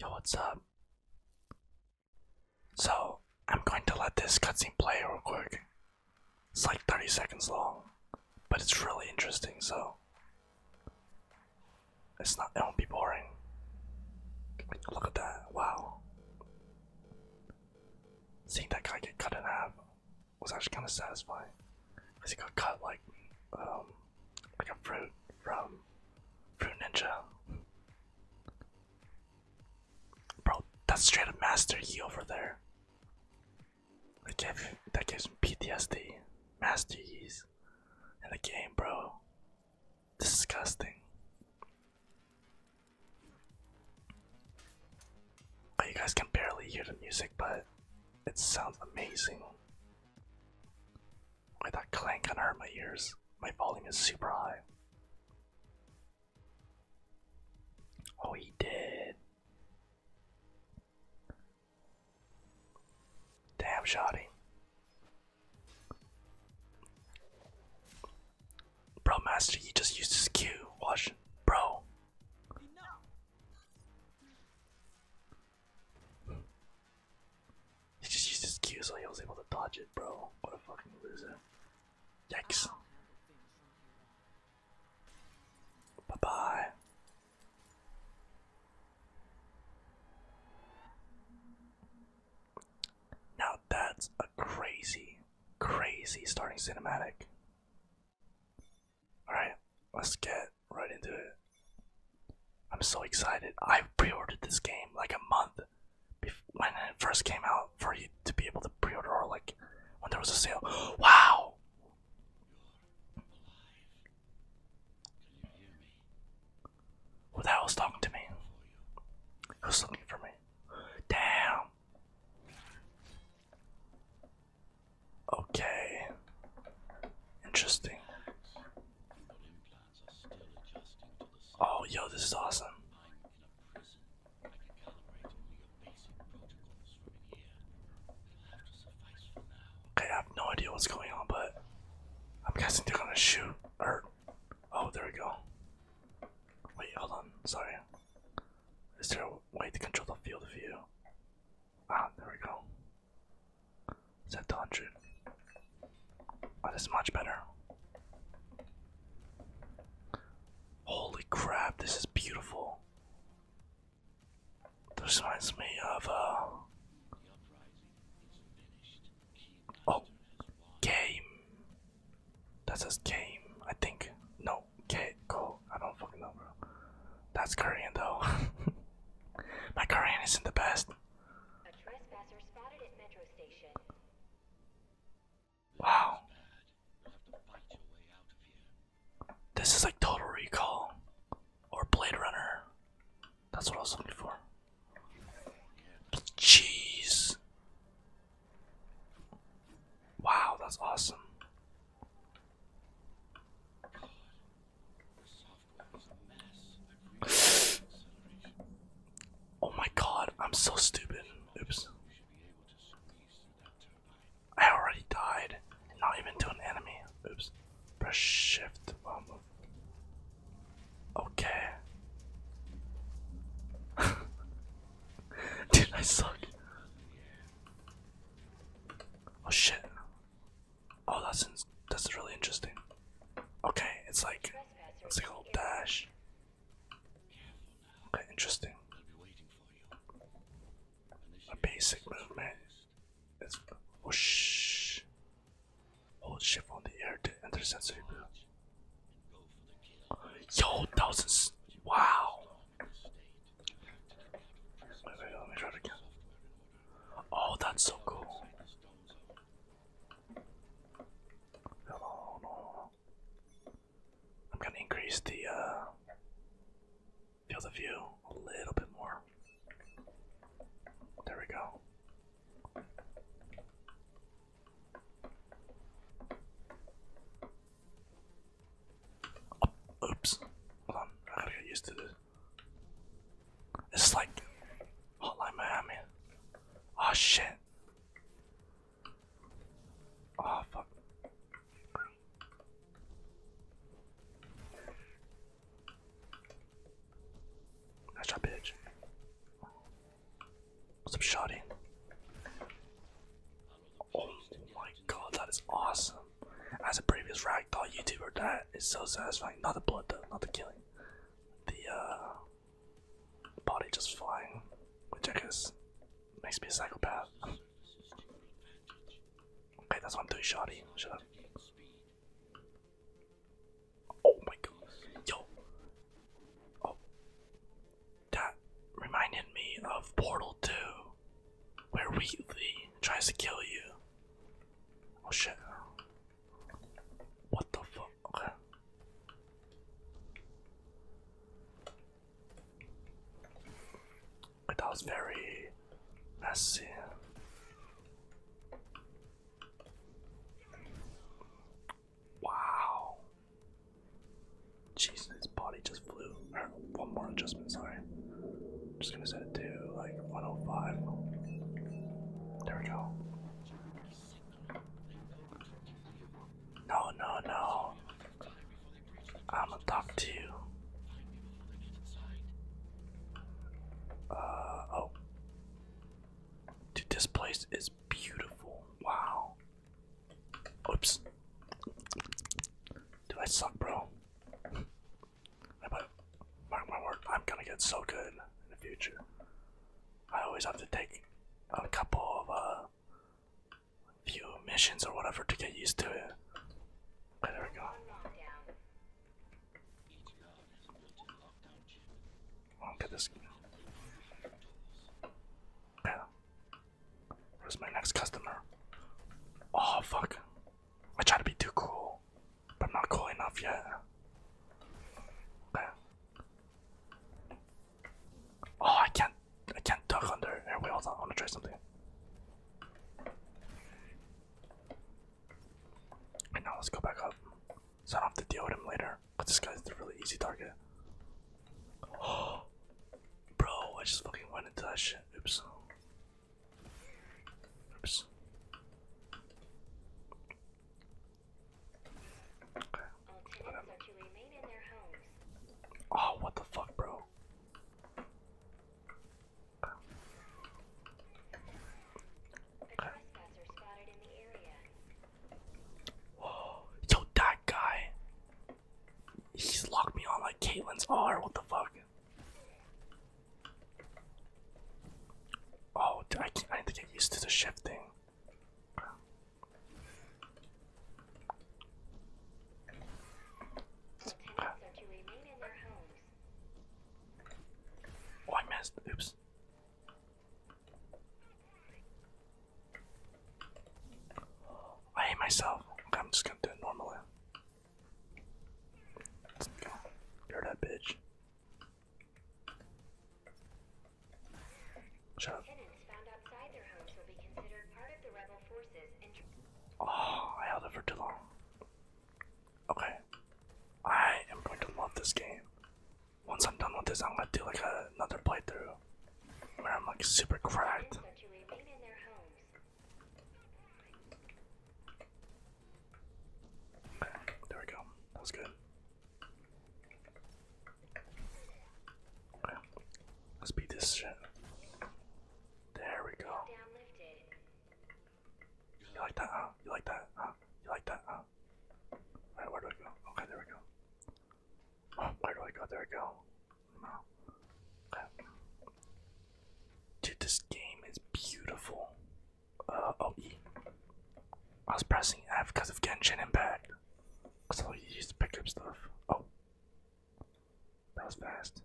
Yo, what's up? So, I'm going to let this cutscene play real quick. It's like 30 seconds long, but it's really interesting, so it's not, it won't be boring. Look at that, wow. Seeing that guy get cut in half was actually kind of satisfying. Because he got cut like, um, like a fruit from Fruit Ninja. Bro, that's straight up Master Yi over there. That gives me PTSD. Master Yi's in the game, bro. Disgusting. you guys can barely hear the music, but it sounds amazing. Why that clang kinda hurt my ears. My volume is super high. Oh, he did. Damn, shoddy. Bro, Master, you just used his Q. Watch, bro. He just used his Q so he was able to dodge it, bro. What a fucking loser. Yikes. Bye bye. Now that's a crazy, crazy starting cinematic. Alright, let's get right into it. I'm so excited. I pre-ordered this game like a month when it first came out for you to be able to pre-order or like when there was a sale. Wow. Who the hell's talking to me? Who's looking for me? Damn. Okay. Interesting. Oh, yo, this is awesome. Okay, I have no idea what's going on, but I'm guessing they're gonna shoot or oh, there we go. Wait, hold on. Sorry. Is there a way to control the field of view? Ah, there we go. Set to 100. Oh, this much better. Holy crap, this is beautiful. This reminds me of, uh... Oh, game. That's a game, I think. No, K, go. I don't fucking know, bro. That's Korean, though. My Korean isn't the best. Wow. This is like Total Recall or Blade Runner. That's what I was looking for. Jeez. Wow, that's awesome. Oh my god, I'm so stupid. Oops. I already died. Not even to an enemy. Oops. Press shift. Okay. Dude, I suck. Oh shit. Oh, that's that's really interesting. Okay, it's like it's like old dash. Okay, interesting. A basic movement. It's whoosh. Hold shift on the air to enter sensory boot. Yo, thousands! Wow. let me try again. Oh, that's so cool. Hello, oh. I'm gonna increase the uh, field of view a little bit more. There we go. oops. Hold I gotta get this. It's like Hotline Miami. Oh shit. Oh fuck. That's your bitch. What's up, shotty? Oh my god, that is awesome. As a previous ragdoll YouTuber, that it's so satisfying. Not the blood though, not the killing. The uh, body just flying, which I guess makes me a psychopath. okay, that's what I'm doing Shotty. Shut up. Oh my god. Yo. Oh. That reminded me of Portal 2, where Wheatley tries to kill you Oh shit. What the fuck? Okay. That was very messy. Wow. Jesus, his body just flew. One more adjustment, sorry. I'm just gonna set it to like 105. There we go. No, no, no. I'm gonna talk to you. Uh oh. Dude, this place is beautiful. Wow. Oops. Do I suck, bro. But mark my word, I'm gonna get so good in the future. I always have to take a couple of uh, few missions or whatever to get used to it. there we go. I'll oh, get this. Yeah. Where's my next customer? Oh fuck! I try to be too cool. But I'm not cool enough yet. Oh, I can't. I can't duck under. Here, wait, hold on. I want to try something. now, let's go back up. So I don't have to deal with him later. But this guy's a really easy target. Oh, bro, I just fucking went into that shit. Oops. Oops. Oh, what the fuck, bro? yo, that guy. He's locked me on like Caitlin's R. What the fuck? Oh, I, I need to get used to the shifting. Oh, I missed. Oops. I hate myself. I'm just gonna do it normally. You're that bitch. Shut up. Oh, I held it for too long. Okay. I am going to love this game. Once I'm done with this, I'm gonna do like another playthrough where I'm like super cracked. There we go. That was good. Let's beat this shit. There we go. You like that, You like that, You like that, huh? where do I go? Okay, there we go. where do I go? There we go. Dude, this game is beautiful. Uh, oh, I was pressing F because of Genshin and Because all you used to pick up stuff. Oh. That was fast.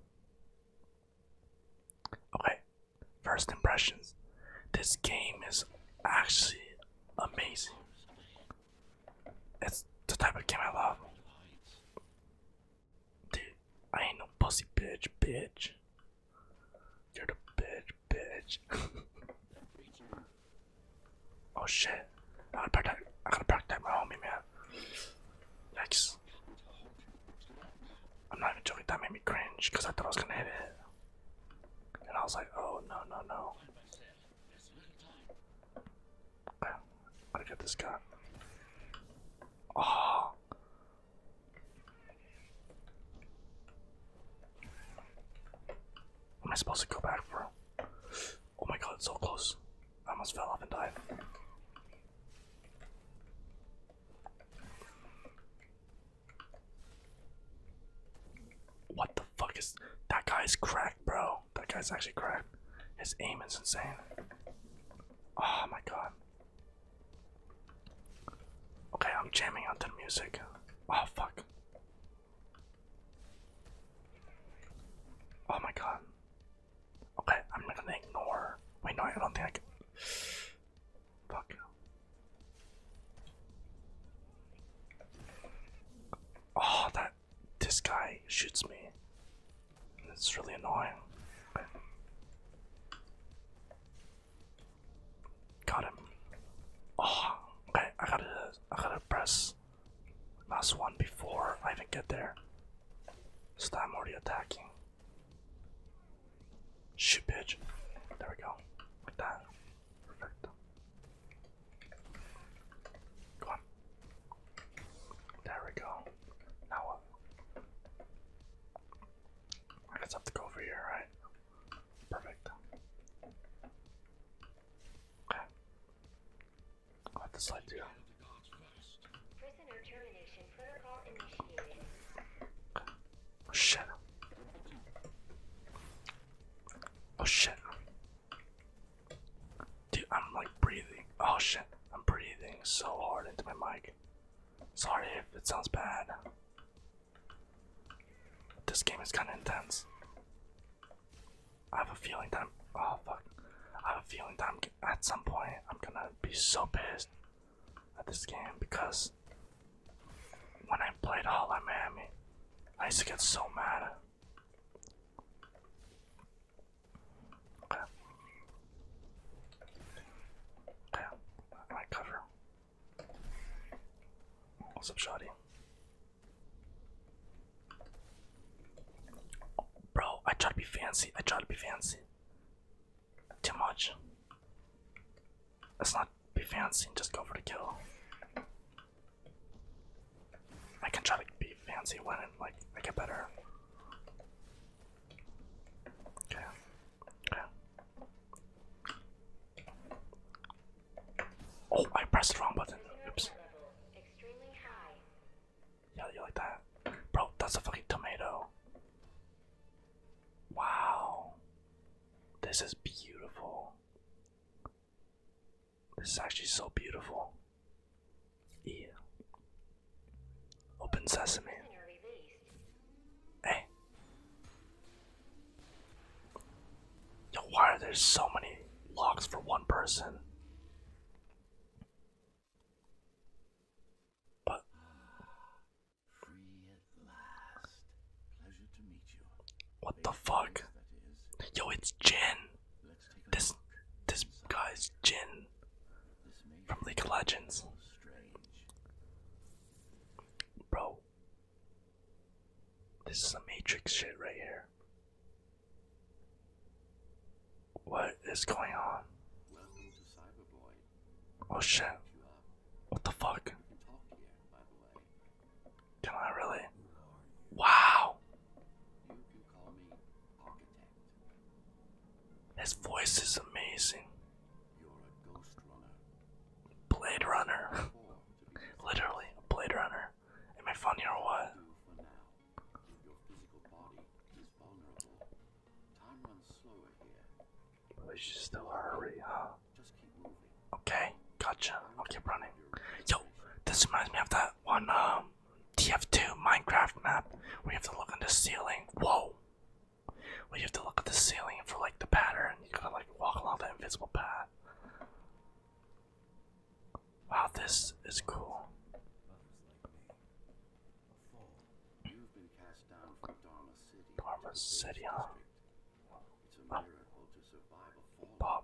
Okay, first impressions. This game is actually amazing. It's the type of game I love. Dude, I ain't no pussy bitch, bitch. You're the bitch, bitch. oh shit. I gotta protect I gotta protect my homie man. Next. I'm not even joking, that made me cringe because I thought I was gonna hit it. And I was like, oh no no no. I gotta get this guy. Oh ah. Am I supposed to go back, bro? Oh my god, so close. I almost fell off and died. What the fuck is that guy's cracked, bro? That guy's actually cracked. His aim is insane. Oh my god. Okay, I'm jamming onto the music. Oh, fuck. Oh my god. Okay, I'm not gonna ignore. Wait, no, I don't think I can. Fuck. Oh, that. This guy shoots me. It's really annoying. Got him. Oh, ah, okay. I gotta, I gotta press last one before I even get there. So that already attacking. Shit, bitch. There we go. Like that. Perfect. Go on. There we go. Now what? I just have to go over here, right? Perfect. Okay. i have to slide through. Oh shit. Oh shit. Dude, I'm like breathing. Oh shit. I'm breathing so hard into my mic sorry if it sounds bad. This game is kind of intense. I have a feeling that I'm, oh fuck, I have a feeling that at some point I'm gonna be so pissed at this game because when I played Hotline Miami, I used to get so mad. Okay. Okay. I cover. What's up, Shotty? Bro, I try to be fancy. I try to be fancy. Too much. Let's not be fancy and just go for the kill. I can try to be fancy when it, like I get better. Yeah. Yeah. Oh, I pressed the wrong button. Oops. Yeah, you like that? Bro, that's a fucking tomato. Wow. This is beautiful. This is actually so beautiful. E. Open sesame. Hey. Yo, why are there so many locks for one person? But What the fuck? Yo, it's Jin. This this guy's Jin from League of Legends. Bro, this is a Matrix shit right here. What is going on? Oh shit. What the fuck? Can I really? Wow! His voice is amazing. you runner. Blade Runner. Literally, a Blade Runner. Am I funny or what? We should still hurry, huh? Okay, gotcha. I'll keep running. Yo, this reminds me of that one um, TF2 Minecraft map We have to look at the ceiling. Whoa! Where have to look at the ceiling for like the pattern. You gotta like walk along the invisible path. Wow, this is cool. Dharma City, Bob.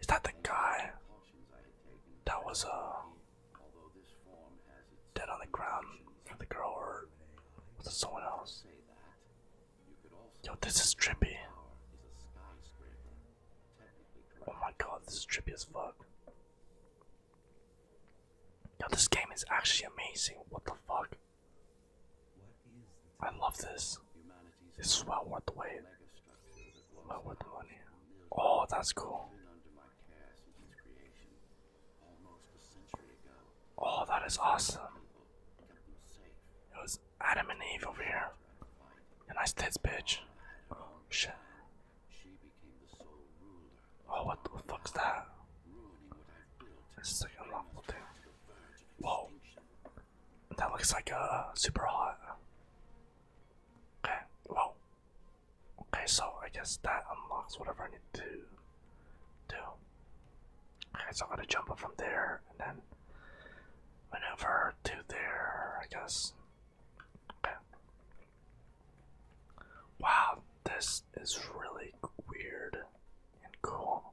Is that the guy that was uh dead on the ground from the girl or was it someone else? Yo, this is trippy. Oh my god, this is trippy as fuck. Yo, this game is actually amazing. What the fuck? I love this. It's well worth the wait. Well worth the money. Oh, that's cool. Oh, that is awesome. It was Adam and Eve over here. nice tits, bitch. Oh, shit. Oh, what the fuck's that? This is like a lawful thing. Whoa. That looks like a uh, super hot. Okay, well. Okay, so I guess that unlocks whatever I need to do. Okay, so I'm gonna jump up from there and then maneuver to there, I guess. Okay. Wow, this is really weird and cool.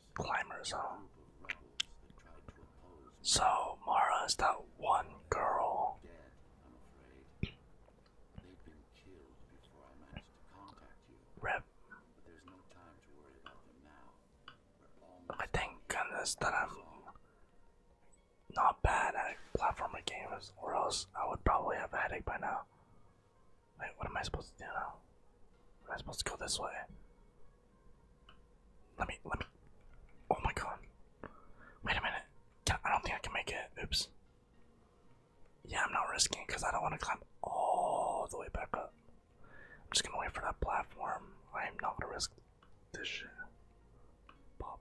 climbers, huh? So Mara is that one girl. Rip. I thank goodness that I'm not bad at platformer games, or else I would probably have a headache by now. Wait, what am I supposed to do now? Am I supposed to go this way? Let me, let me. Oh my god. Wait a minute. Can, I don't think I can make it. Oops. Yeah, I'm not risking because I don't want to climb all the way back up. I'm just gonna wait for that platform. I am not gonna risk this shit. Pop.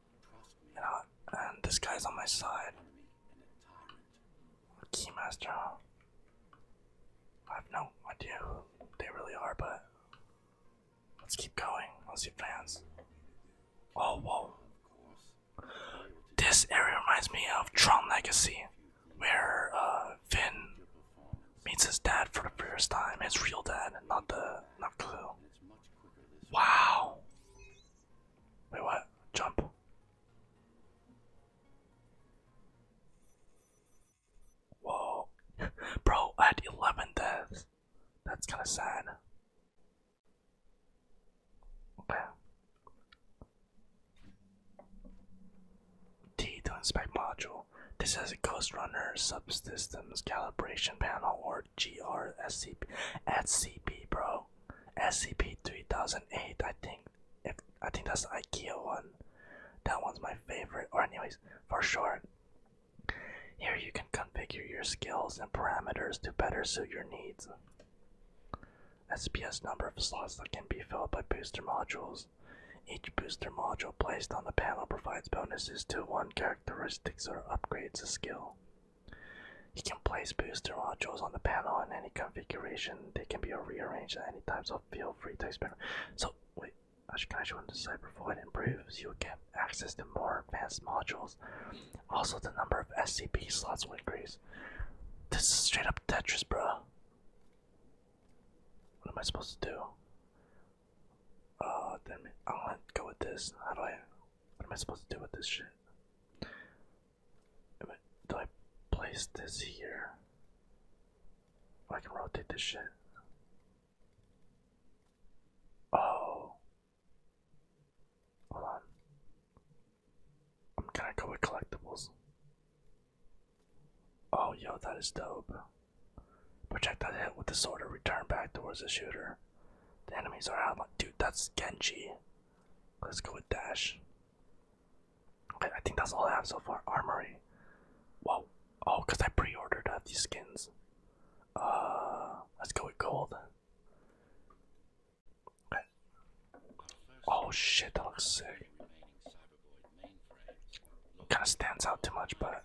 You know, and this guy's on my side. Keymaster, I have no idea who they really are, but let's keep going. Let's see plans. Oh, whoa. This area reminds me of Tron Legacy, where Vin uh, meets his dad for the first time, his real dad, not the not Clue. Wow. Wait, what? Jump. Whoa. Bro, I 11 deaths. That's kind of sad. Okay. D to inspect module. This is a Ghost Runner subsystems calibration panel or G R S C P SCP SCP bro SCP 3008 I think if I think that's IKEA one that one's my favorite or anyways for sure here you can configure your skills and parameters to better suit your needs SPS number of slots that can be filled by booster modules each booster module placed on the panel provides bonuses to one character characteristics or upgrades the skill. You can place booster modules on the panel in any configuration. They can be rearranged at any time, so feel free to experiment. So, wait, can I show them the Cybervoid improves? You'll get access to more advanced modules. Also, the number of SCP slots will increase. This is straight up Tetris, bro. What am I supposed to do? Uh, oh, then I want to go with this. How do I? What am I supposed to do with this shit? do I place this here? I can rotate this shit. Oh. Hold on. I'm gonna go with collectibles. Oh, yo, that is dope. Project that hit with the sword or return back towards the shooter. The enemies are out. Dude, that's Genji. Let's go with Dash. Okay, I think that's all I have so far. Armory. Whoa. Oh, because I pre ordered uh, these skins. Uh, Let's go with gold. Okay. Oh shit, that looks sick. Kind of stands out too much, but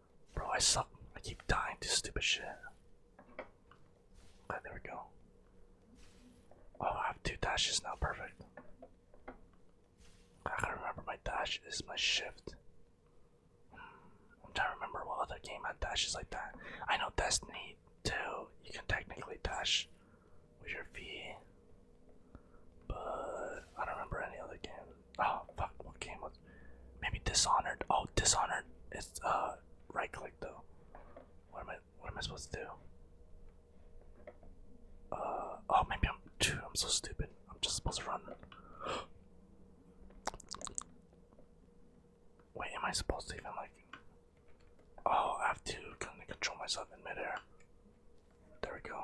Bro, I suck. I keep dying to stupid shit. Okay, there we go. Oh, I have two dashes now. Perfect. I can to remember my dash is my shift. I'm trying to remember what other game had dashes like that. I know Destiny too. you can technically dash with your V, but I don't remember any other game. Oh fuck! What game was? Maybe Dishonored. Oh, Dishonored. It's uh right click though. What am I? What am I supposed to do? Uh oh, maybe I'm too. I'm so stupid. I'm just supposed to run. Wait, am I supposed to even like? Oh, I have to kind of control myself in midair. There we go.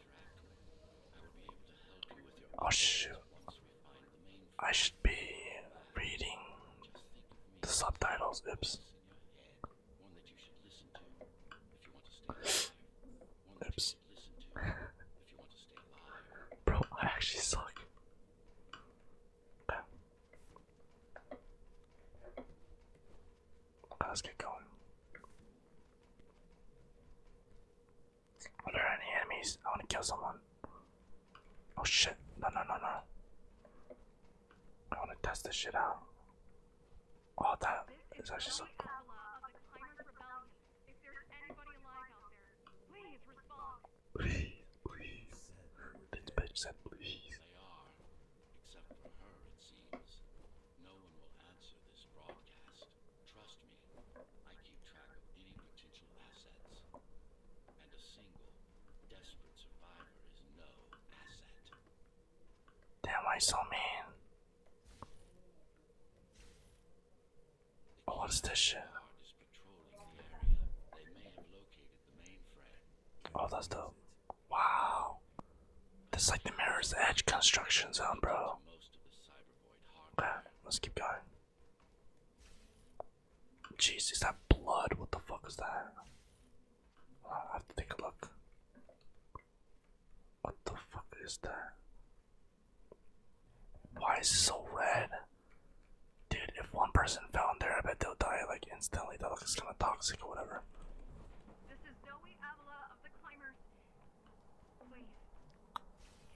Oh shoot. I should be reading the subtitles. Oops. Oops. Bro, I actually suck. Let's get going. Are there any enemies? I want to kill someone. Oh shit. No, no, no, no. I want to test this shit out. Oh, that is actually so cool. Please, please. This bitch said please. No one will answer this broadcast. Trust me, I keep track of any potential assets. And a single, desperate survivor is no asset. Damn, why so mean? what is this shit? Oh, that's dope. Wow. This like the Mirror's Edge construction zone, bro. Okay, let's keep going. Jesus, that blood? What the fuck is that? I have to take a look. What the fuck is that? Why is it so red? Dude, if one person fell in there, I bet they'll die like instantly. That looks kind of toxic or whatever.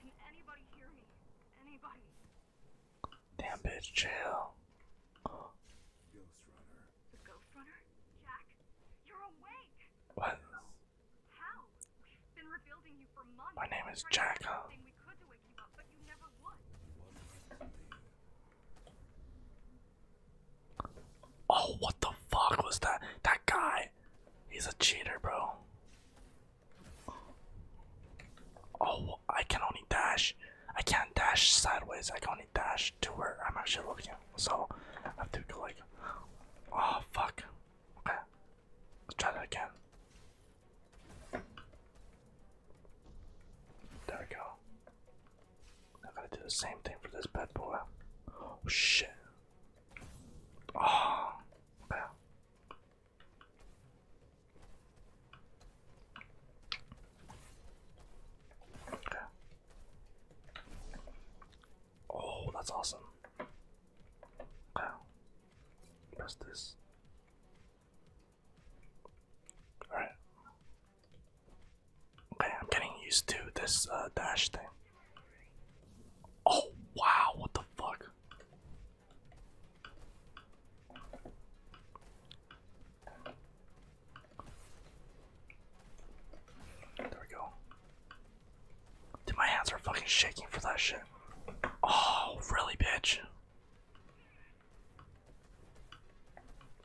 Can anybody hear me? Anybody? Damn bitch, chill. Ghost The Ghost Jack, you're awake. What? How? been rebuilding you for months. My name is Jack, Oh, what the fuck was that? That guy, he's a cheater, bro. Oh, I can only dash. I can't dash sideways. I can only dash to where I'm actually looking. So I have to go like, oh fuck. Okay, let's try that again. There we go. I gotta do the same thing for this bad boy. Oh shit. Oh, Okay. Oh, that's awesome. Wow. Press this. Alright. Okay, I'm getting used to this uh, dash thing. Oh wow, what the fuck? There we go. Dude, my hands are fucking shaking for that shit. Oh, really, bitch?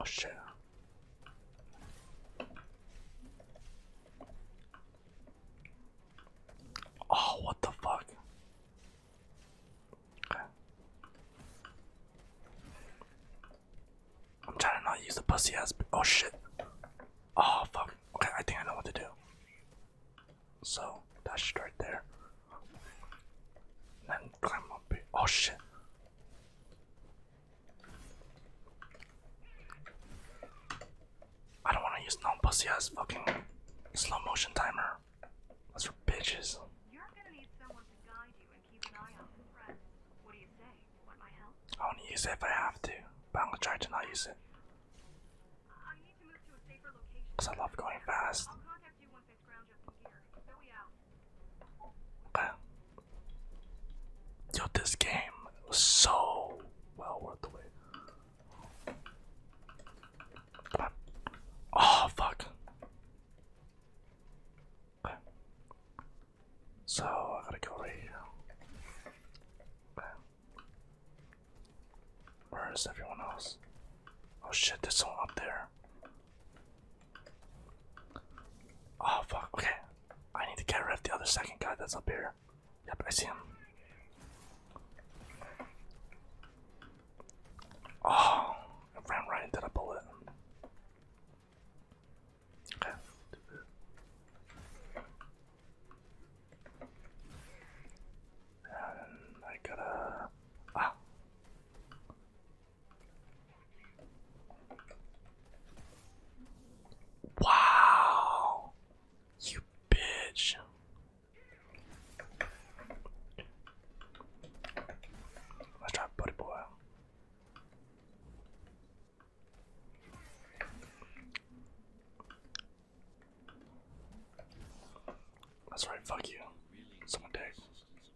Oh shit. Oh, what the fuck? I'm trying to use the pussy ass. Oh shit. Oh fuck. Okay, I think I know what to do. So, that shit right there. Oh shit. I don't wanna use non pussy ass fucking slow motion timer. That's for bitches. I only use it if I have to, but I'm gonna try to not use it. Cause I love going fast. Okay. Yo, this game was so well worth the wait. Come on. Oh, fuck. Okay. So, I gotta go right here. Okay. Where is everyone else? Oh shit, there's one up there. Oh fuck, okay. I need to get rid of the other second guy that's up here. Yep, I see him. Oh, I ran right into the bullet. Okay. And I gotta. Ah. Wow, you bitch. Let's try Buddy Boy. That's right, fuck you. Someone dick.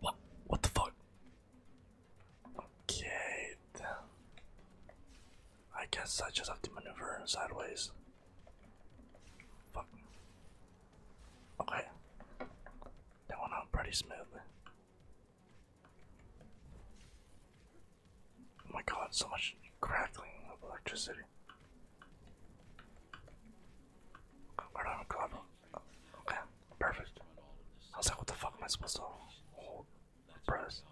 What? What the fuck? Okay. I guess I just have to maneuver sideways. Fuck. Okay. That went out pretty smoothly. Oh my god, so much crackling of electricity. I don't Okay, perfect. I was like, what the fuck am I supposed to hold? Press.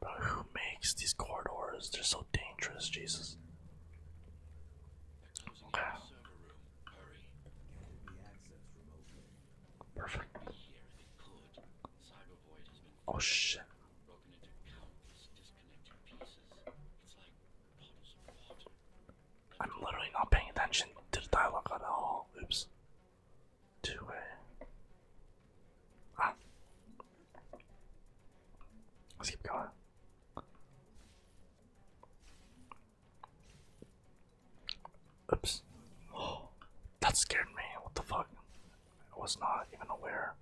Bro, who makes these corridors? They're so dangerous, Jesus. Okay. Perfect. Oh I'm literally not paying attention to the dialogue at all. Oops. Two way. Ah. Let's keep going. Oops. that scared me. What the fuck? I was not even aware.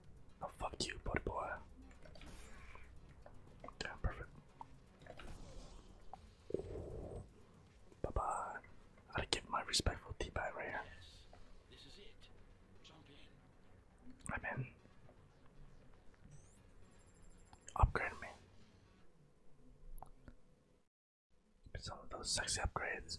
i Oh, fuck you, buddy boy. Damn, perfect. Bye bye. gotta give my respectful tea back right here. this is it. Jump in. i me. Some of those sexy upgrades.